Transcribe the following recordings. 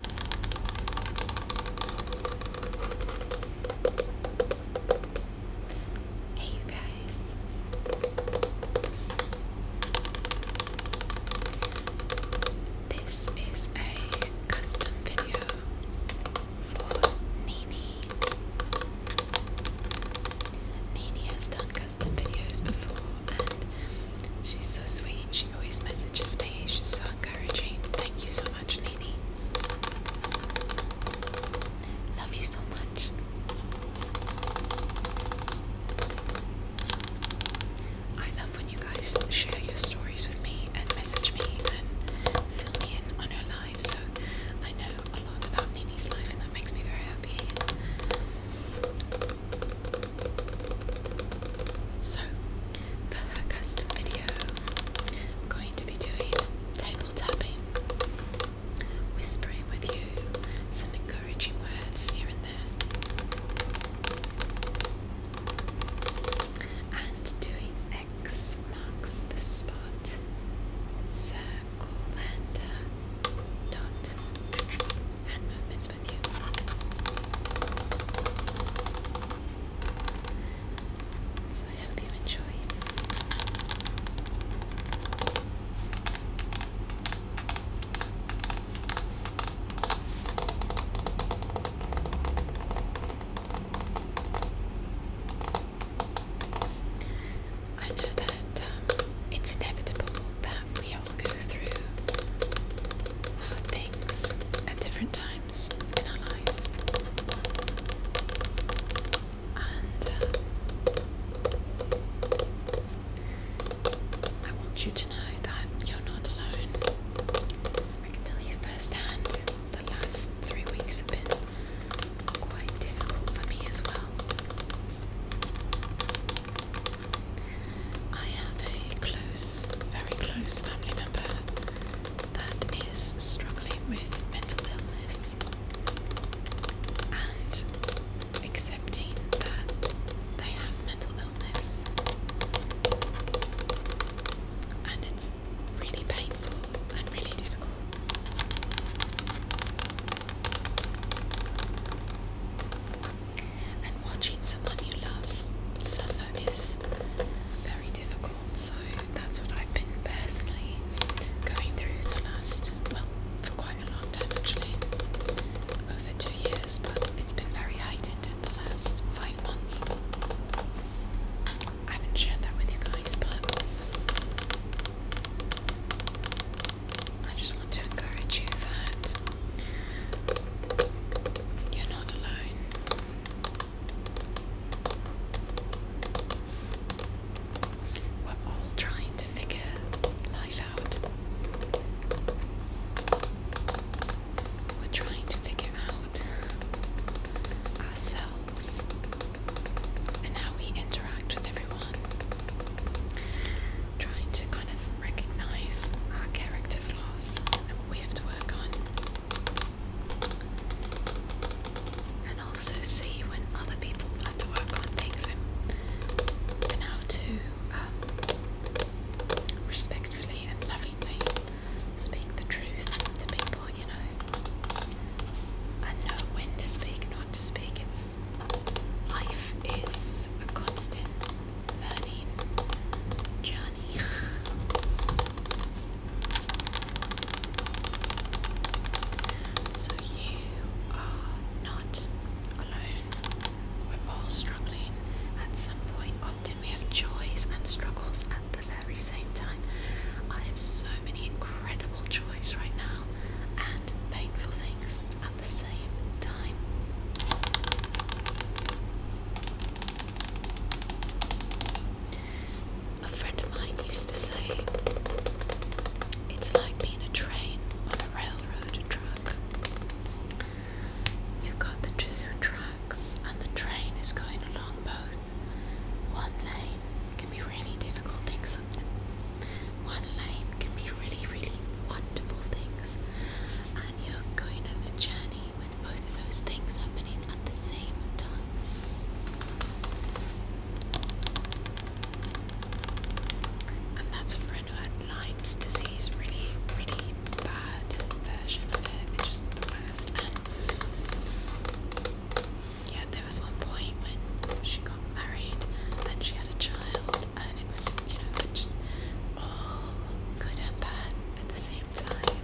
Hey, you guys. This is a custom video for Nini. Nini has done custom videos before, She's so sweet. She always messages me. She's so encouraging. Thank you so much, Nini. Love you so much. I love when you guys share your stories with me and message me and fill me in on your lives. So I know a lot about Nini's life and that makes me very happy. So, for her custom video, going to be doing table whispering with you some encouraging words here and there, and doing X marks the spot, circle and dot hand movements. So I hope you enjoy. I know that um, it's inevitable that we i go through uh, things at different times in our lives. And uh, I want you to know that you're not alone. I can tell you firsthand the last three weeks have been quite difficult for me as well. I have a close, very close family member that is struggling with mental illness and accepting that they have mental illness and it's really painful and really difficult and watching someone you love suffer is very difficult. So that's what I've been personally going through the last, well, for quite a long time actually, over two years, but it's been very heightened in the last five months. I haven't shared that with you guys, but I just want to encourage you that you're not alone. We're all trying to figure life out. We're trying to figure out ourselves and how we interact with everyone. Trying to kind of recognise our character flaws and what we have to work on, and also see when other people have to work on things and, how to um, respectfully and lovingly speak the truth to people, you know. I know when to speak, not to speak. It's life is a constant learning journey. so you are not alone. We're all struggling at some point. Often we have joys and struggles at the very same time. I have so many incredible joys right now and painful things the same time. A friend of mine used to say it's like being a train on a railroad track. You've got the two tracks, and the train is going along both. One lane can be really difficult things one line can be really, really wonderful things, and you're going on a journey with both of those things happening at the same time. And that's a friend who had Lyme's disease, really, really bad version of it, it's just the worst. And yeah, there was one point when she got married and she had a child, and it was, you know, just all good and bad at the same time.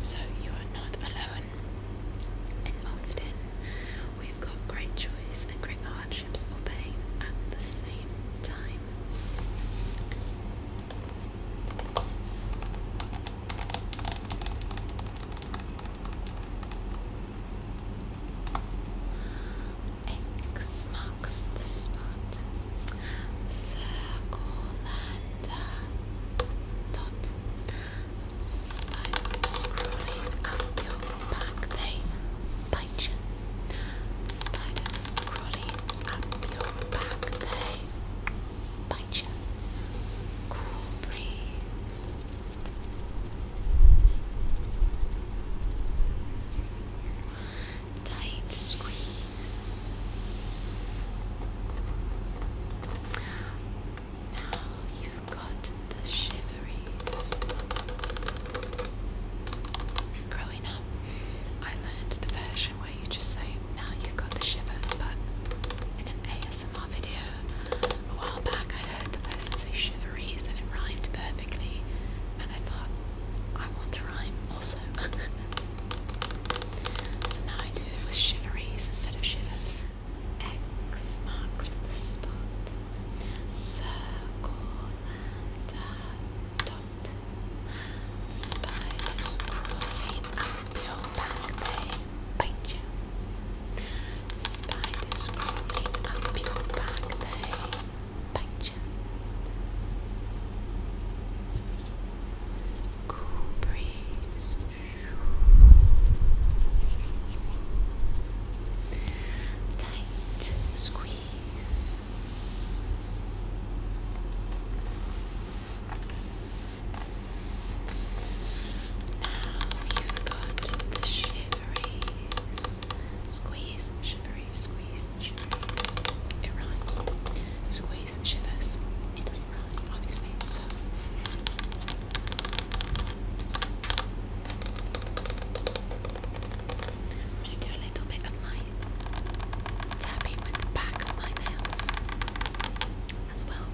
So you are not alone, and often we've got great joys and great hardships or pain at the same time. X marks the spot. Circle uh, crawling up your back, they bite you. Spiders crawling up your back, they Bye, you. Cool breeze. Tight squeeze. Now you've got the shiveries. Growing up, I learned the version you just say, now you've got the shivers, but in an ASMR video a while back I heard the person say shiveries and it rhymed perfectly and I thought, I want to rhyme also. so now I do it with shiveries instead of shivers. X marks the spot. Circle and dot. Spiders crawling up your back, they Spiders crawling up your back, they Cool breeze. Tight squeeze. Now you've got the shiveries. Squeeze, shivers. squeeze, shivers. It rhymes. Squeeze, shivers. It doesn't rhyme, obviously, so. I'm going to do a little bit of light tapping with the back of my nails as well.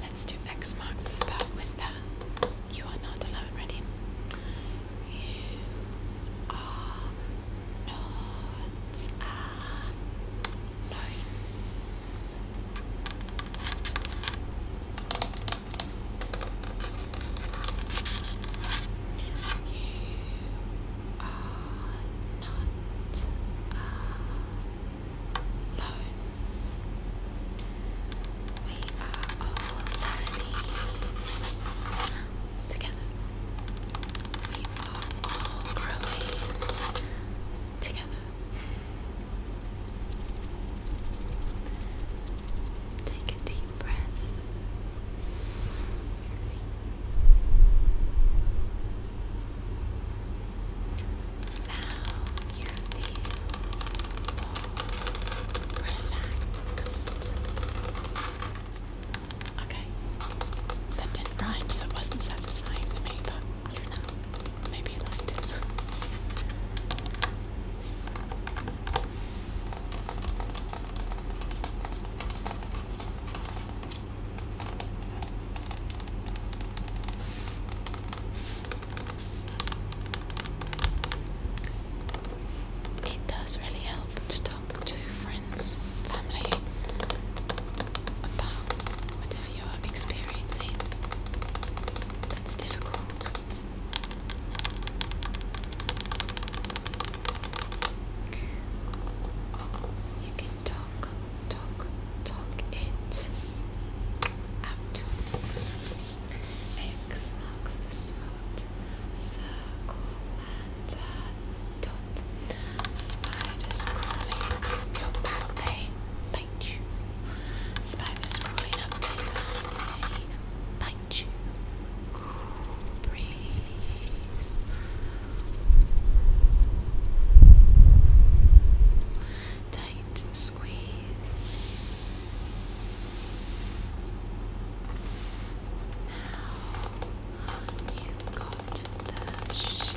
Let's do X marks the spot with the you are not alone. Ready? You are not alone. You are not alone. We are all learning together. We are all growing together. Take a deep breath. Now you feel relaxed. Okay, that didn't rhyme, so it wasn't satisfying for me, but I do maybe you liked it does really help to talk to friends, family about whatever you're experiencing. That's difficult. You can talk talk, talk it out. X marks the spot. Spiders crawling up your pathway, bite you. Spiders crawling up your pathway, bite you. Cool breeze breeze. Tight squeeze. Now you've got the shiveries.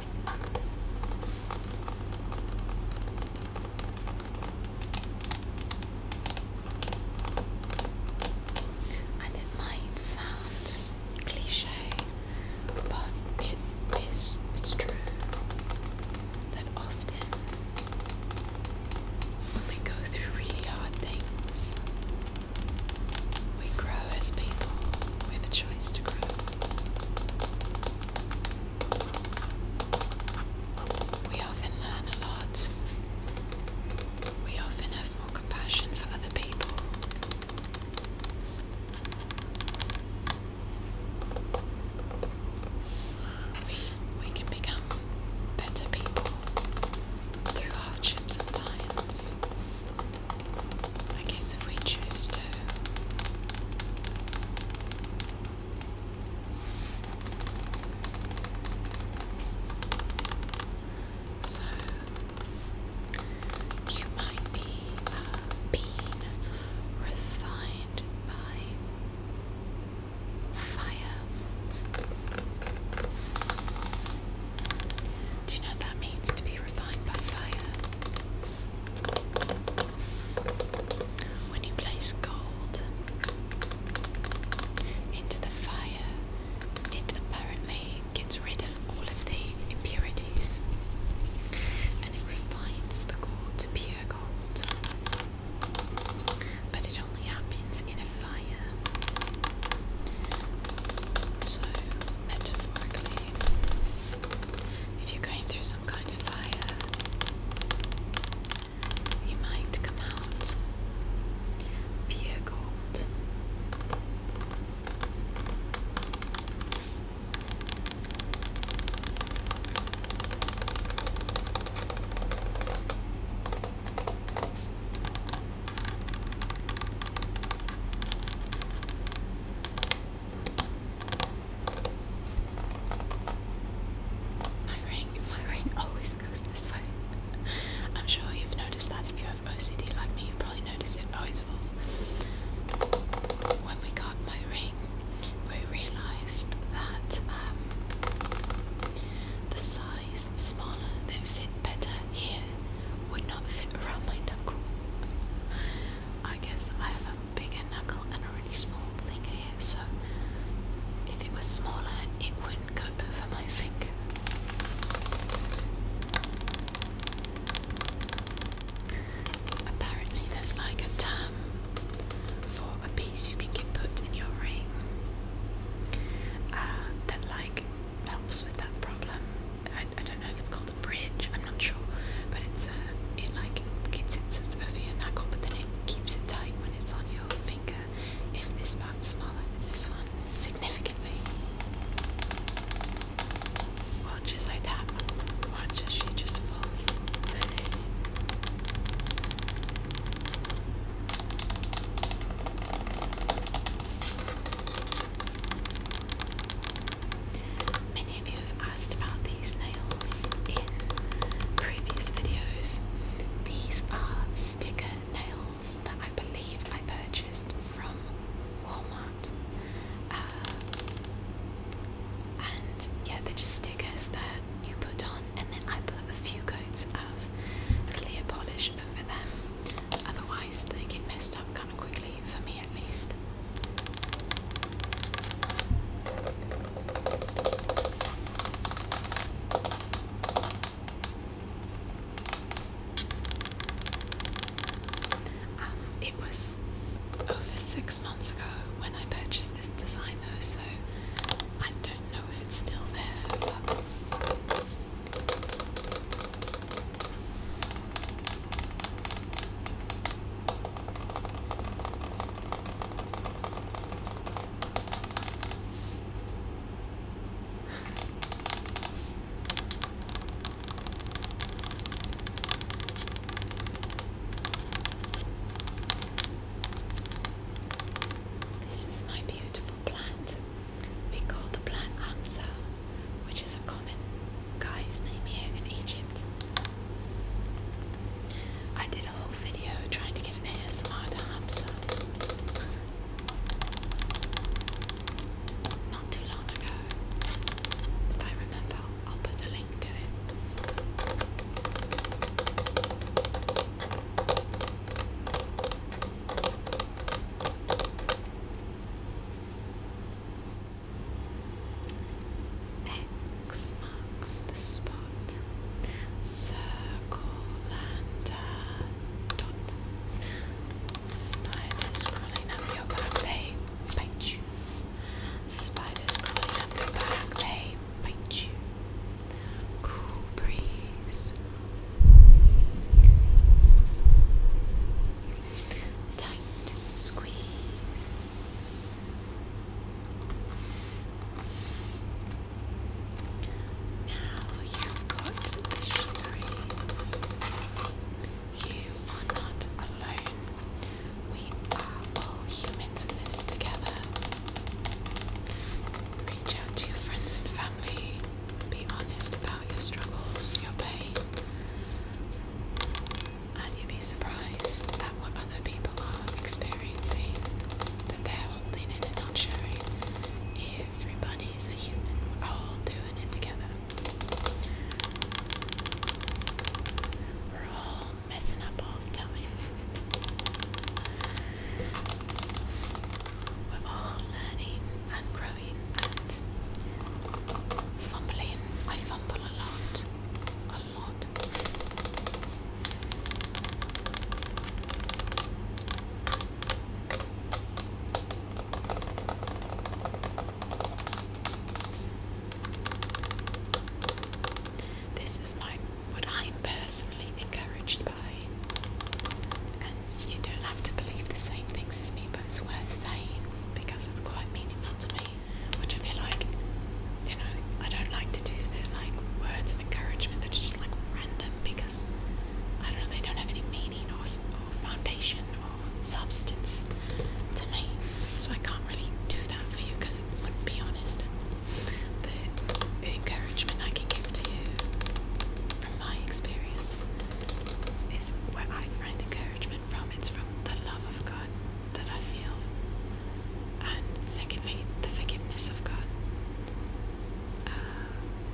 And it might sound cliche, but it is it's true that often when we go through really hard things, we grow as people. We have a choice to grow. We often learn a lot. We often have more compassion for other people. We, we can become better people through hardship sometimes. I guess if we choose to. So, you might be uh, being refined by fire. Do you know that means to be refined by fire? When you place gold into the fire, it apparently gets rid of all of the impurities and it refines the gold to pure gold. But it only happens in a fire. So, metaphorically, if you're going through some kind of fire, you might come out pure gold. My ring, my ring always goes this way. I'm sure you've noticed that if you have OCD like me, you've probably noticed it always falls. When we got my ring, we realised that um, the size smaller that fit better here would not fit around my knuckle. I guess I have a bigger knuckle and a really small finger here, so if it was smaller, it wouldn't go over my finger. Apparently, there's like a term for a piece you can get put in your ring uh, that like helps with that problem. I, I don't know if it's called a bridge, I'm not sure, but it's uh, it like gets it sort of over your knuckle, but then it keeps it tight when it's on your finger. If this part's smaller than this one, significantly. Watch I tap. Watch as she just falls. Many of you have asked about these nails in previous videos. These are sticker nails that I believe I purchased from Walmart. Uh, and yeah, they're just stickers that you put on, and then I put a few coats of clear polish over them. Otherwise, they get messed up quickly, for me at least. Um, it was over six months ago when I purchased this design, though, so I don't know if it's still there. This is my beautiful plant. We call the plant ansa, which is a common guy's name here in Egypt. I did a whole video trying to give an ASMR to Hamza. Not too long ago. If I remember, I'll put a link to it. X marks the spot. Circle and dot. Spiders crawling up your back, they bite you. Spiders crawling up your back, they bite you. Cool breeze Tight squeeze. Now you've got the shiverings. You are not alone. We are all humans in this together. Reach out to your friends and family. Be honest about your struggles, your pain, and you'd be surprised at what other people are experiencing but they're holding in and not sharing. Everybody is a human, we're all doing it together. We're all messing up all the time. We're all learning and growing and fumbling. I fumble a lot. A lot. This is my what I'm personally encouraged and you don't have to believe the same things as me, but it's worth saying because it's quite meaningful to me. Which I feel like, you know, I don't like to do the like words of encouragement that are just like random because I don't know, they don't have any meaning or, or foundation or substance to me. So I can't really do that for you because it wouldn't be honest. The encouragement I can give to you from my experience is where I find encouragement from. It's from the love of God that I feel, and secondly, the forgiveness of God uh,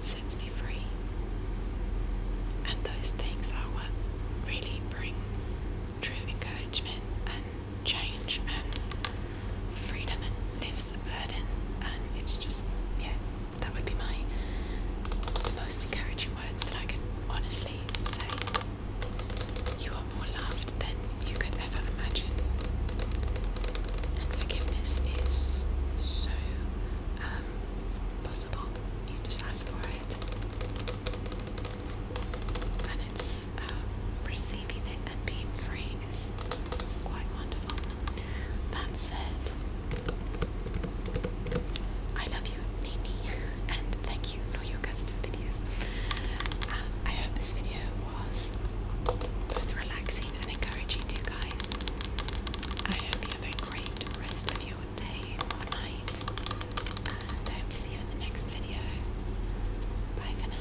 sets me free. And those things are what really bring true encouragement and change and freedom and lifts the burden and it's just yeah that would be my most encouraging words that I can honestly say. You are more loved than you could ever imagine. And forgiveness is so um, possible. You just ask for it. And it's um, receiving it and being free is quite wonderful. That said, I love you, Nini, and thank you for your custom video. Um, I hope this video was both relaxing and encouraging to you guys. I hope you have a great rest of your day or night, and I hope to see you in the next video. Bye for now.